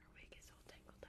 Her wig is all tangled up.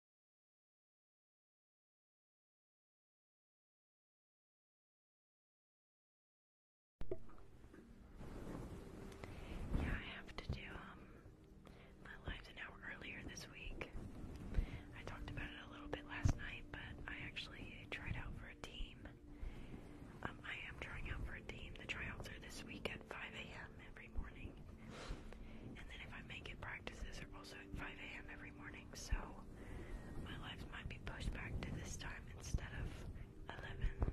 Yeah, I have to do um, my lives an earlier this week. I talked about it a little bit last night, but I actually tried out for a team. Um, I am trying out for a team. The tryouts are this week at 5 a.m. every morning. And then if I make it practices are also at 5 a.m. every morning, so my life might be pushed back to this time instead of 11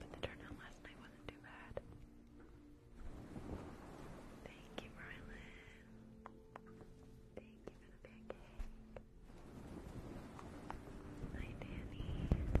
the turnout last night wasn't too bad. Thank you, Rylan. Thank you for the pancake. Hi, Danny.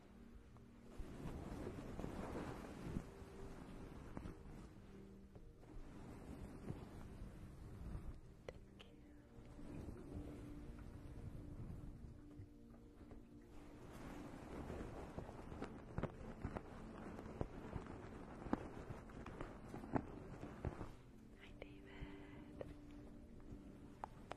Hi, David.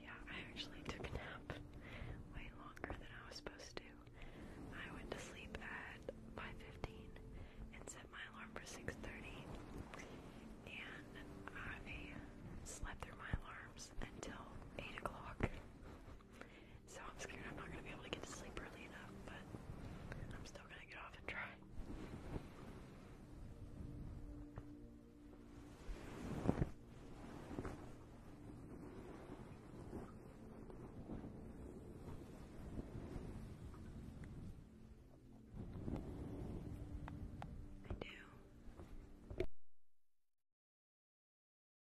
Yeah, I actually took a nap way longer than I was supposed to. I went to sleep at 5:15 and set my alarm for 6:30, and I slept through my alarms until 8 o'clock. So I'm scared I'm not going to be able to get to sleep early enough, but I'm still going to get off and try. I do.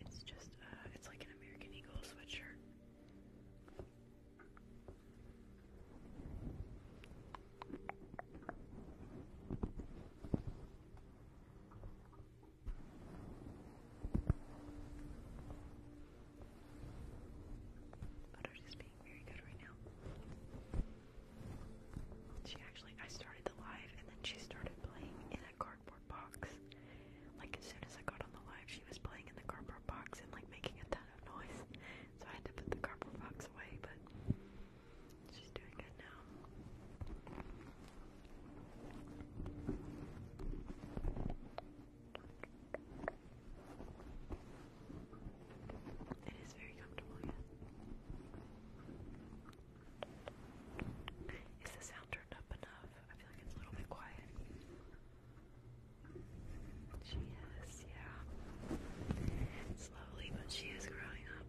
It's just, uh, it's like an American Eagle sweatshirt. But i being very good right now. She actually, I started the live and then she started playing in a cardboard box. Like as soon as I got on the live, she was playing in the cardboard box and like making a ton of noise. So I had to put the cardboard box away, but she's doing good now. It is very comfortable, Is the sound turned up enough? I feel like it's a little bit quiet. She is, yeah. Slowly, but she is growing up.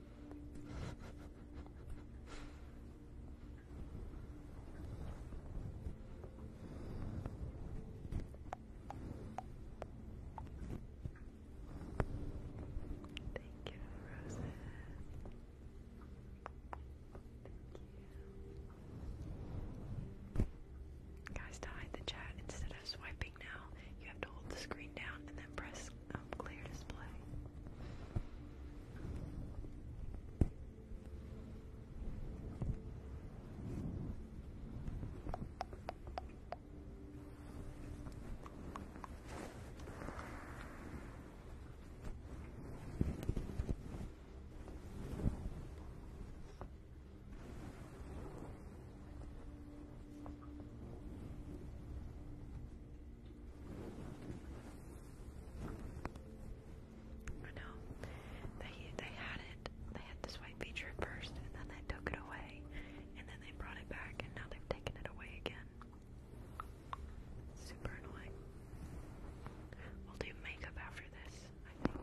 Thank you, Rosa. Guys, to hide the chat, instead of swiping now, you have to hold the screen down and then press um, clear display. I know. They they had it. They had this white feature first, and then they took it away, and then they brought it back, and now they've taken it away again. Super annoying. We'll do makeup after this, I think.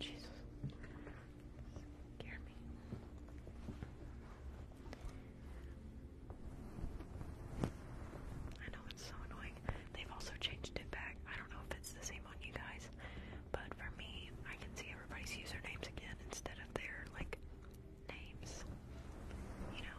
Jesus. Scare me. I know it's so annoying. They've also changed it back. I don't know if it's the same on you guys, but for me, I can see everybody's usernames again instead of their like names. You know.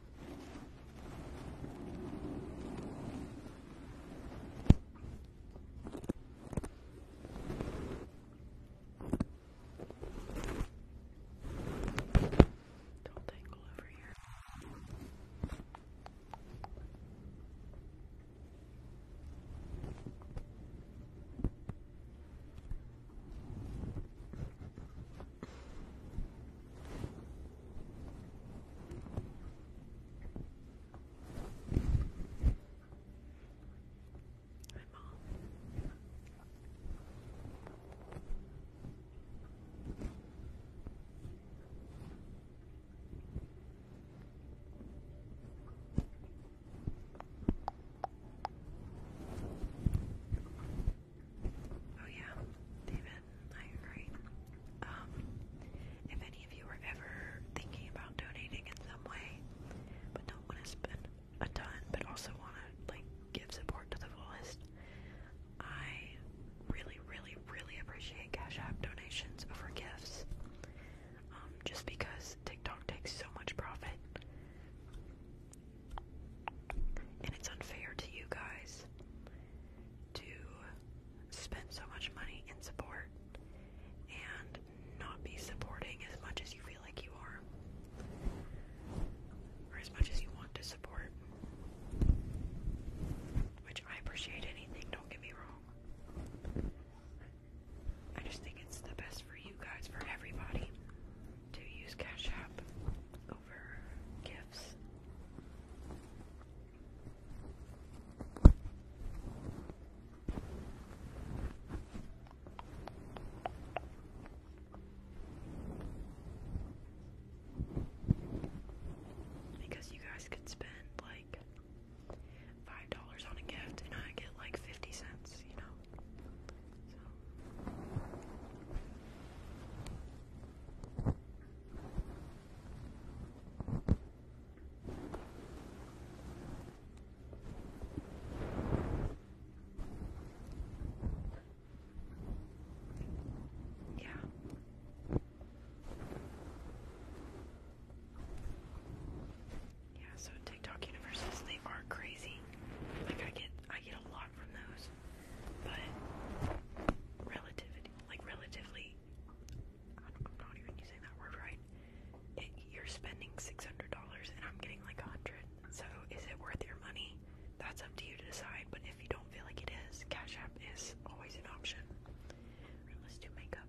Don't tangle over here. Hi, Mom. Oh, yeah, David tired, right? Um, if any of you are ever thinking about donating in some way, but don't want to spend a ton, but also want to like give support to the fullest, I really, really, really appreciate Cash App donations over gifts. Um, just because TikTok takes so much profit, and it's unfair to you guys to spend so much money in support and not be supporting as much as you feel like you are or as much as you want to support which I appreciate anything don't get me wrong I just think it's the best for you guys for everybody to use Cash App over gifts because you guys could spend like five dollars on a gift and I get like fifty cents, you know. Yeah. Yeah, so TikTok universes, they are crazy. Like I get I get a lot from those. But relativity like relatively I'm not even using that word right. you're spending six hundred dollars, and I'm getting like a hundred. So is it worth your money? That's up to you to decide. But if you don't feel like it is, Cash App is always an option. let's do makeup.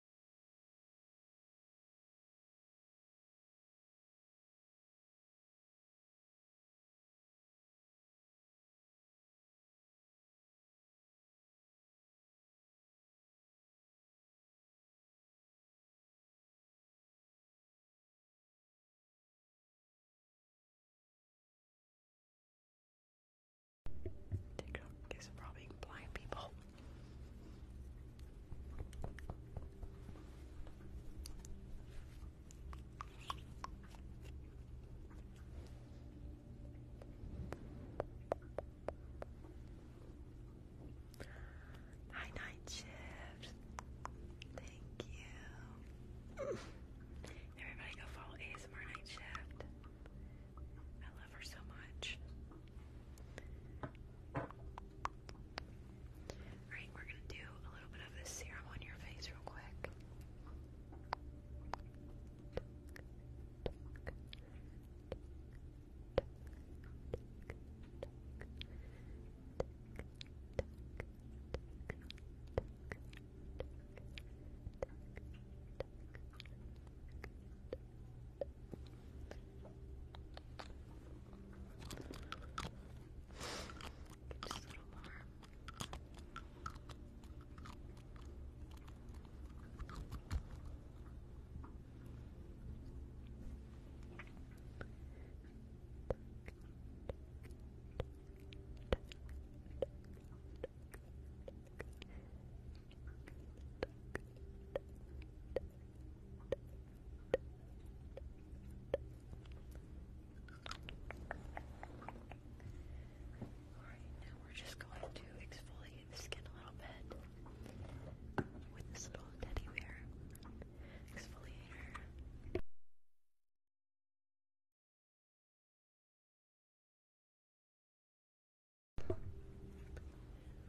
TikTok is robbing blind people. Night Shift. Thank you. Everybody go follow ASMR Night Shift. I love her so much. Alright, we're gonna do a little bit of this serum on your face real quick. Just a little more. Good now we're just going to exfoliate the skin a little bit with this little teddy bear exfoliator.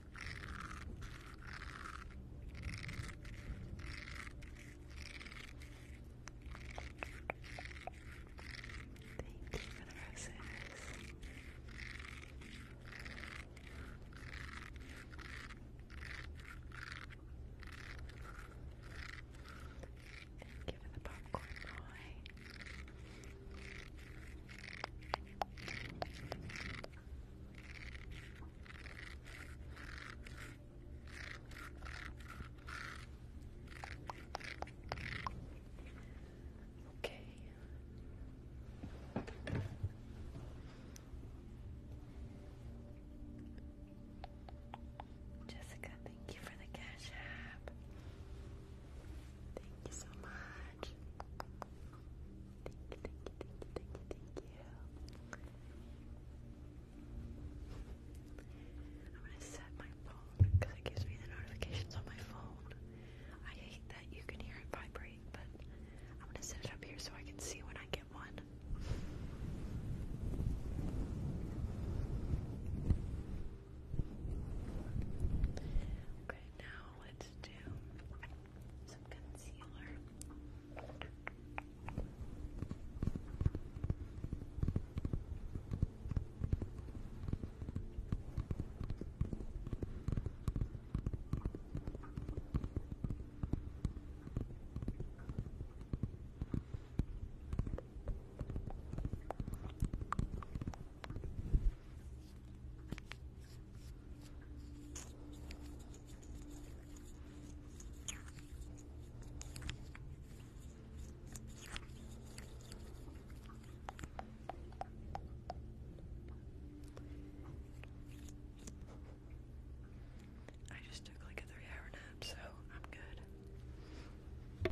you for the roses. Thank you for the popcorn boy. Okay. Jessica, thank you for the cash app. Thank you so much. I'm gonna set my phone because it gives me the notifications on my phone. I hate that you can hear it vibrate, but I'm gonna set it up here so I can see when I get one. Okay, now let's do some concealer. I just took like a three hour nap, so I'm good.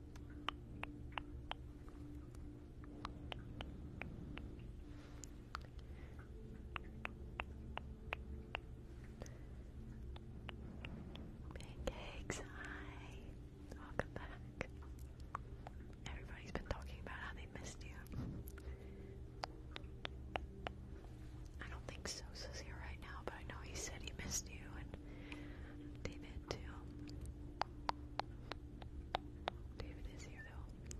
Pancakes, hi. Welcome back. Everybody's been talking about how they missed you. I don't think Sosa's here right now, but I know he said he missed you and David too. David is here though.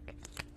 Okay.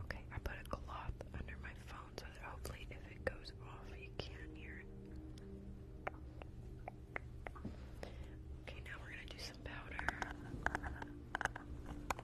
Okay, I put a cloth under my phone so that hopefully if it goes off you can't hear it. Okay, now we're gonna do some powder.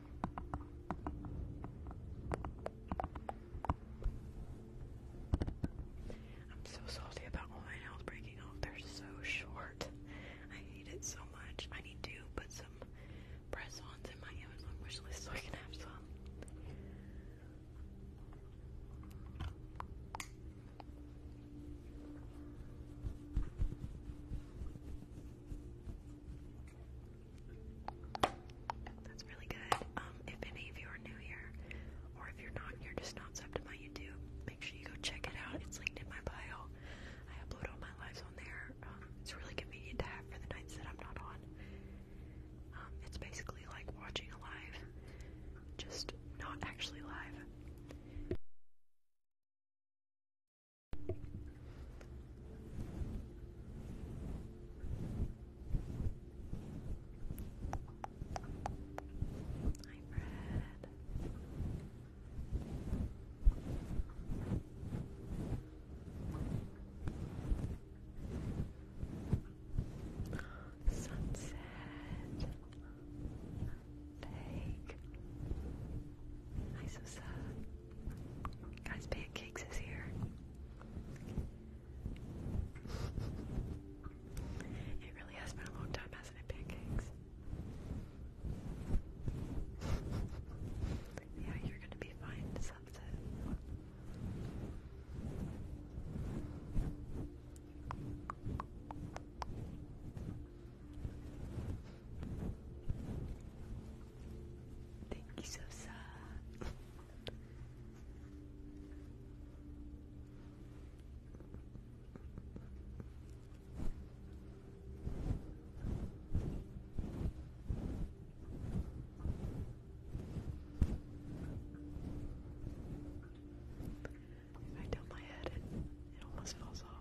I'm so salty about my nails breaking off. They're so short. I hate it so much. I need to put some press ons in my Amazon wish list so I can have some. That's really good. Um, if any of you are new here, or if you're not, you're just not sub to my YouTube, make sure you go check it out. It's linked in my bio. I upload all my lives on there. Um, it's really convenient to have for the nights that I'm not on. Um, it's basically like watching a live, just not actually live. Hi, Fred. Sunset. Bake. Hi, Sosa. Guys, pancakes is here. It really has been a long time, hasn't it, pancakes? yeah, you're gonna be fine, sunset. Thank you, Sosa. I tilt my head, it, it almost falls off.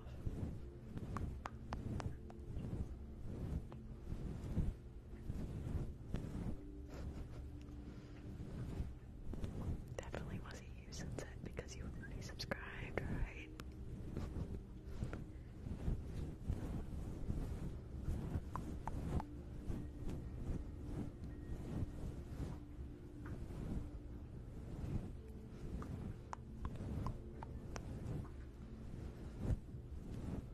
Definitely wasn't you since because you already subscribed, right?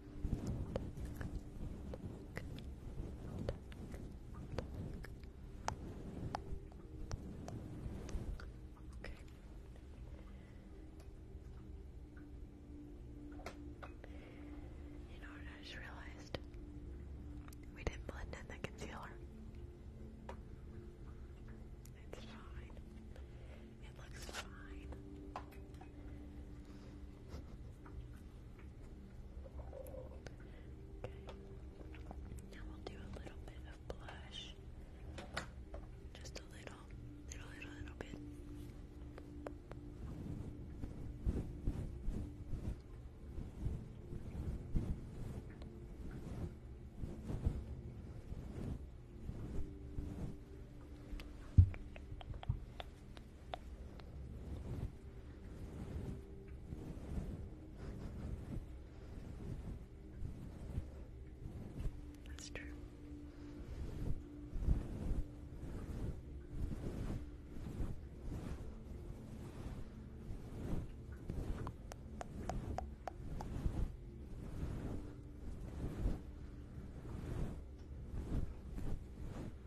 You know what I just realized? We didn't blend in the concealer. It's fine. It looks fine. Okay. Now we'll do a little bit of blush. Just a little, little, little, little bit. That's true.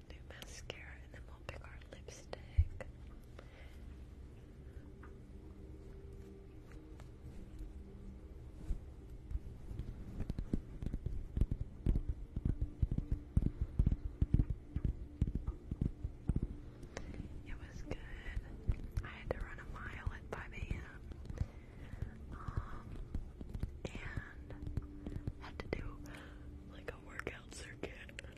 going mascara and then we'll pick our lipstick. It was good. I had to run a mile at 5 a.m. Um, and had to do like a workout circuit.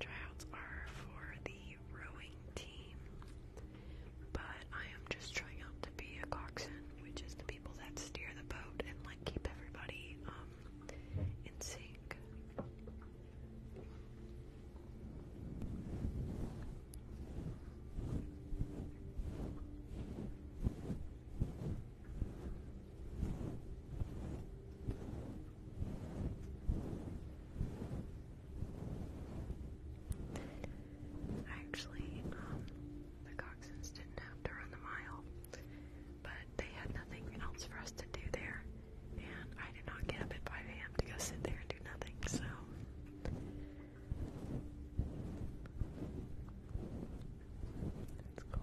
Tryouts are for the rowing team, but I am just trying out to be a coxswain, which is the people that steer the boat and like keep everybody um, in sync. Actually, um, the Coxons didn't have to run the mile, but they had nothing else for us to do there, and I did not get up at 5 a.m. to go sit there and do nothing, so. That's cool.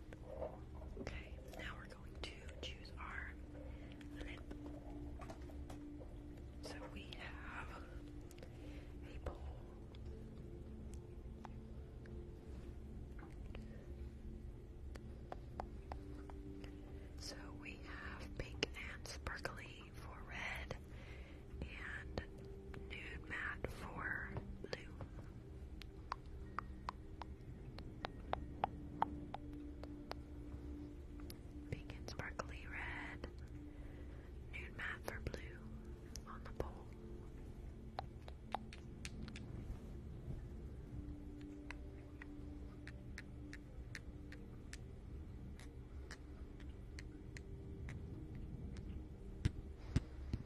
Okay, now we're going to choose our So we have a bowl. So we have pink and sparkly for red and nude matte for blue. Pink and sparkly red. Nude matte for blue on the pole.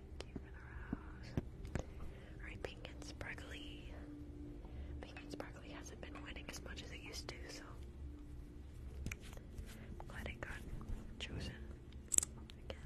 Thank you Pink and Sparkly. Pink and Sparkly hasn't been winning as much as it used to, so glad it got chosen again.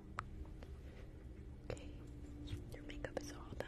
Okay, your makeup is all done.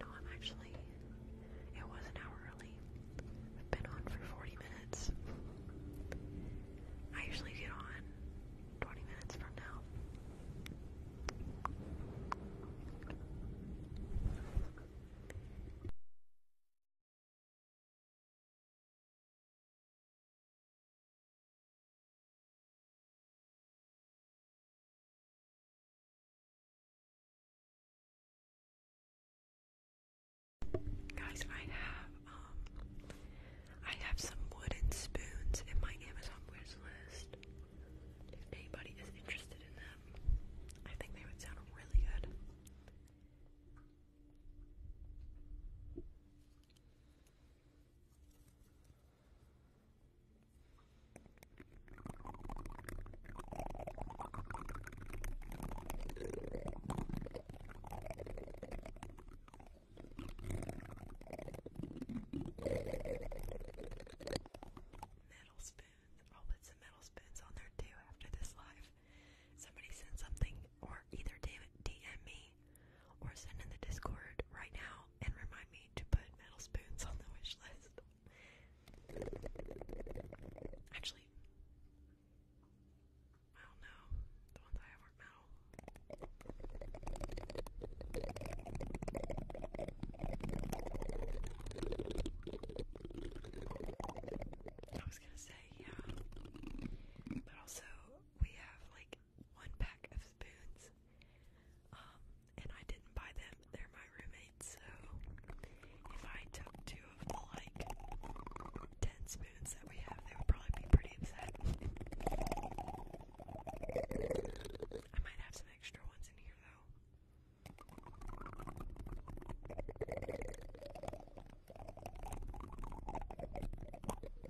No, I'm actually. It was an hour early. I've been on for 40 minutes. I usually get on 20 minutes from now. Guys, I have um I have some wooden spoons in my Amazon wish list. If anybody is interested in them, I think they would sound really good. Metal spoons. I'll put some metal spoons on there too after this live. Somebody send something or either DM me me or send in the Discord right now and remind me to put metal spoons on the wish list. Actually, I don't know. The ones I have aren't metal. I was gonna say, yeah. But also, we have like one pack of spoons. Um, and I didn't buy them, they're my roommates, so if I took two of the like 10 spoons that we have, they would probably be pretty upset. I might have some extra ones in here though.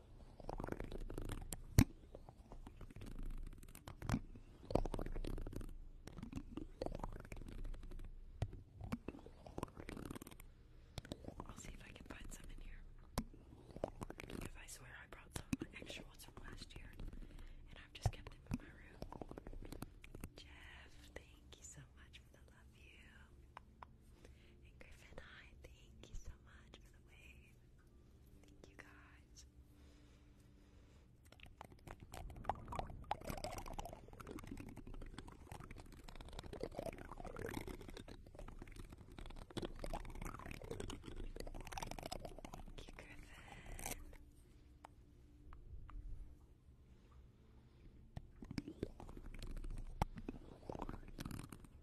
I'll see if I can find some in here. Because I swear I brought some extra ones from last year, and I've just kept them in my room. Jeff, thank you so much for the love you. Griffin, hi, thank you so much for the wave. Thank you guys. Thank you, Griffin.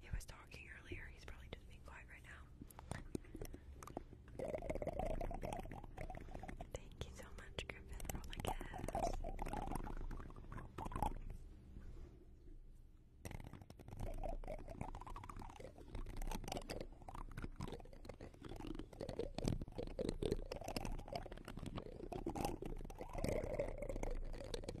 He was talking earlier. He's probably just being quiet right now. Thank you so much, Griffin, for all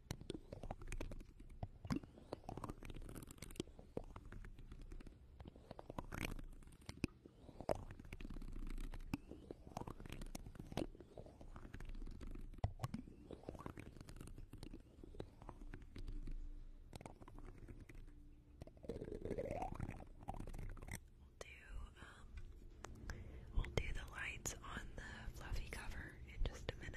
We'll do um we'll do the lights on the fluffy cover in just a minute.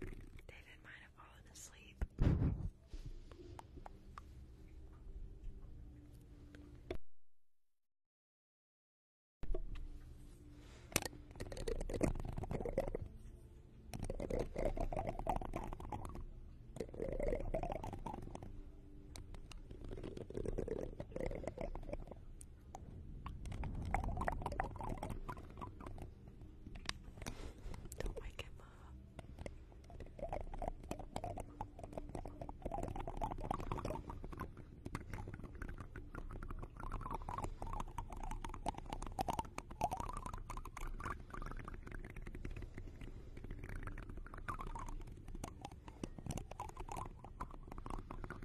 David might have fallen asleep. Don't wake him up.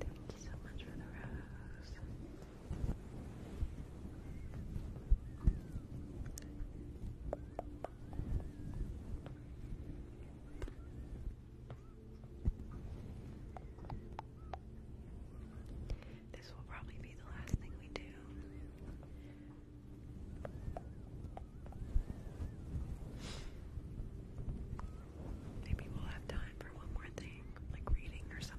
Thank you so much for the rose. This will probably be the last thing we do. Maybe we'll have time for one more thing, like reading or something.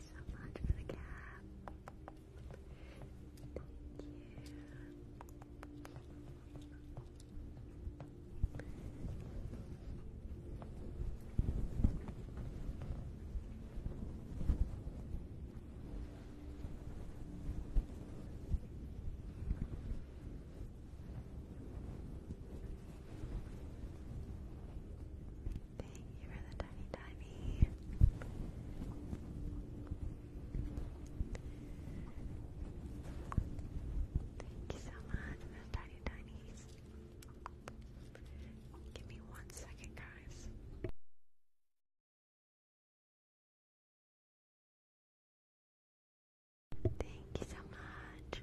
so much for the cat. Thank you. Thank you for the tiny tiny. Thank you so much for the tiny tinies. Give me one second, guys. Thank you so much.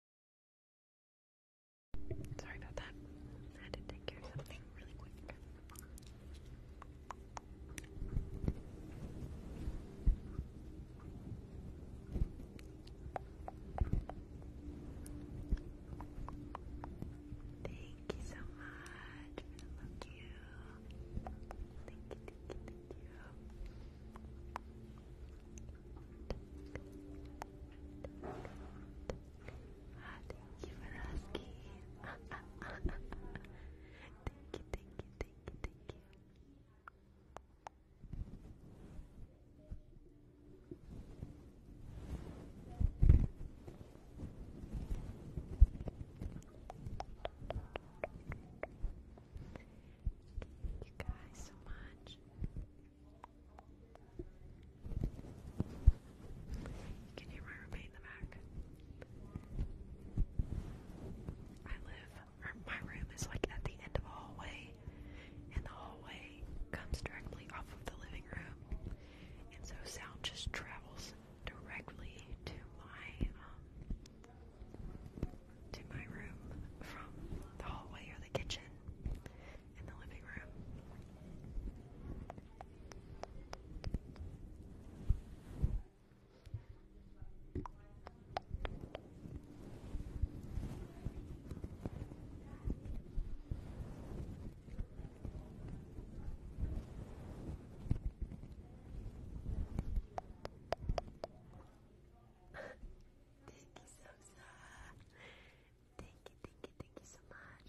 Sorry about that. had to take care of something really quick. Thank you so much for the love you. you, thank you, thank you. Thank you thank you for asking. thank you, thank you, thank you, thank you. Thank you guys so much. You hear my roommate in the back. I live, or my room is like at the end of a hallway, and the hallway comes directly off of the living room, and so sound just travels directly to my um, to my room from the hallway or the kitchen in the living room. Thank you, Sosa. Thank you, thank you, thank you so much.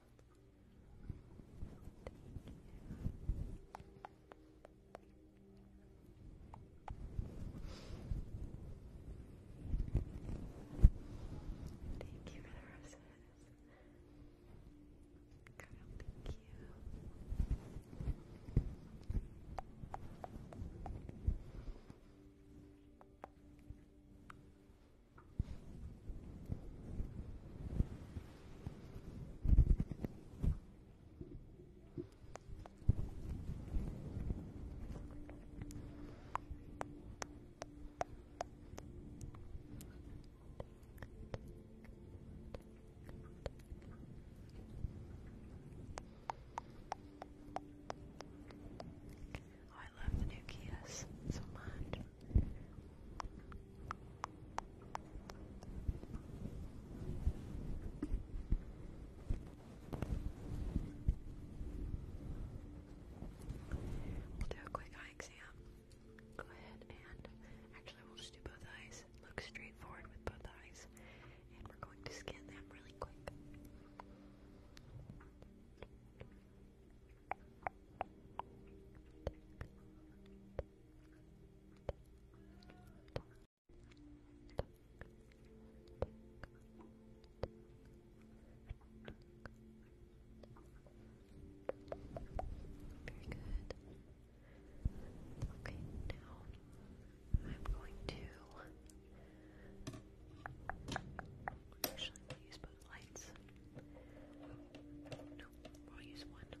Thank you for the roses. Girl, thank you. Oh, I love the new Kias so much. We'll do a quick eye exam. Go ahead and actually, we'll just do both eyes. Look straight forward with both eyes, and we're going to scan them really quick. Very good. Okay, now I'm going to actually use lights. No, I'll use one.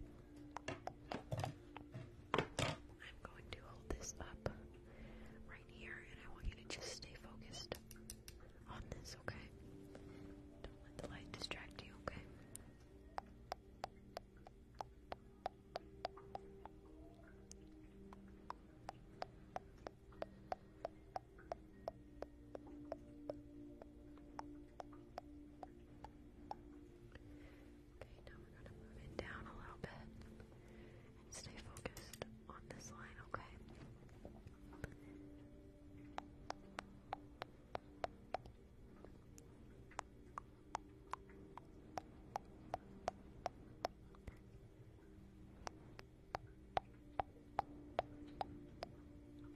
I'm going to hold this up right here, and I want you to just stay focused on this, okay? Don't let the light distract you, okay? Okay, now we're going to move it down a little bit stay focused on this line, okay?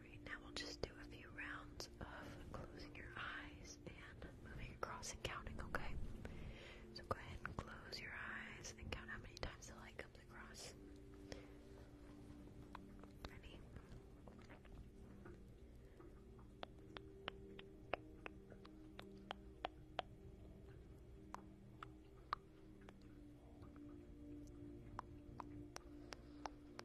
Right now we'll just do a few rounds of closing your eyes and moving across and counting, okay? So go ahead and close your eyes and count how many times the light comes across. Ready?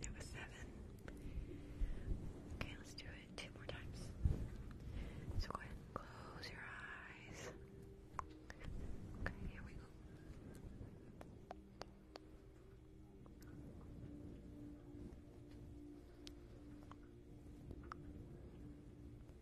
It was seven. Okay, let's do it two more times. So go ahead and close your eyes. Okay, here we go.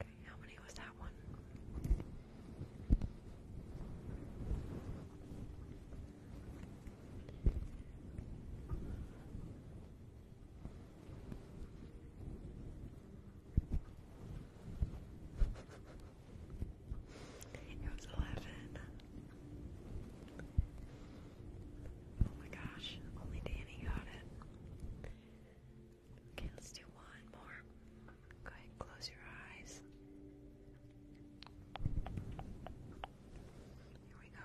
Okay, how many was that one? It was 11. Oh my gosh, only Danny got it. Okay, let's do one more. Go ahead close your eyes. Here we go.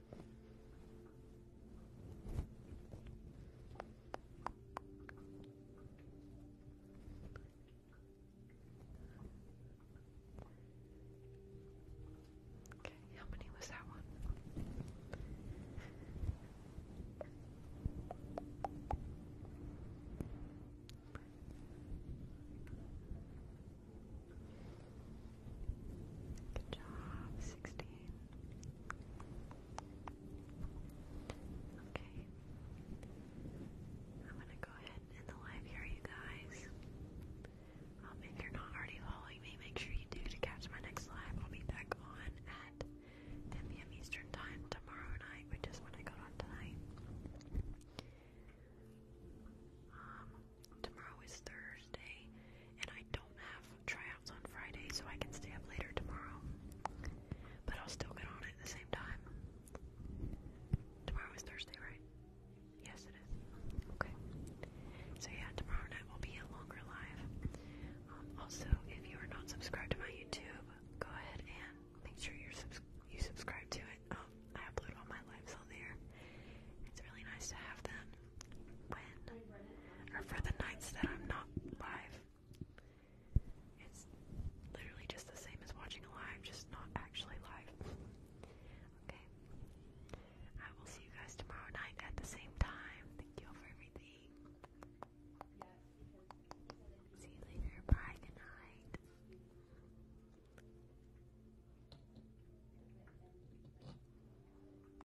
Okay, how many was that one? Good job, sixteen. Okay. I'm gonna go ahead and the live here, you guys. Um, if you're not already following me, make sure you do to catch my next live. I'll be back on at 10 p.m. Eastern Time tomorrow night, which is when I got on tonight. Um, tomorrow is Thursday, and I don't have try workouts on Friday so I can stay up later tomorrow. But I'll still get on it at the same time. Tomorrow is Thursday, right? Yes, it is. Okay. So yeah, tomorrow night will be a longer live. Um, also, if you are not subscribed to my YouTube, go ahead and make sure you're you subscribe to it. Um, I upload all my lives on there. It's really nice to have them or for the nights that I'm not live. It's literally just the same as watching live, just not actually live. okay. I will see you guys tomorrow night at the same time. Thank you all for everything. See you later. Bye. Good night.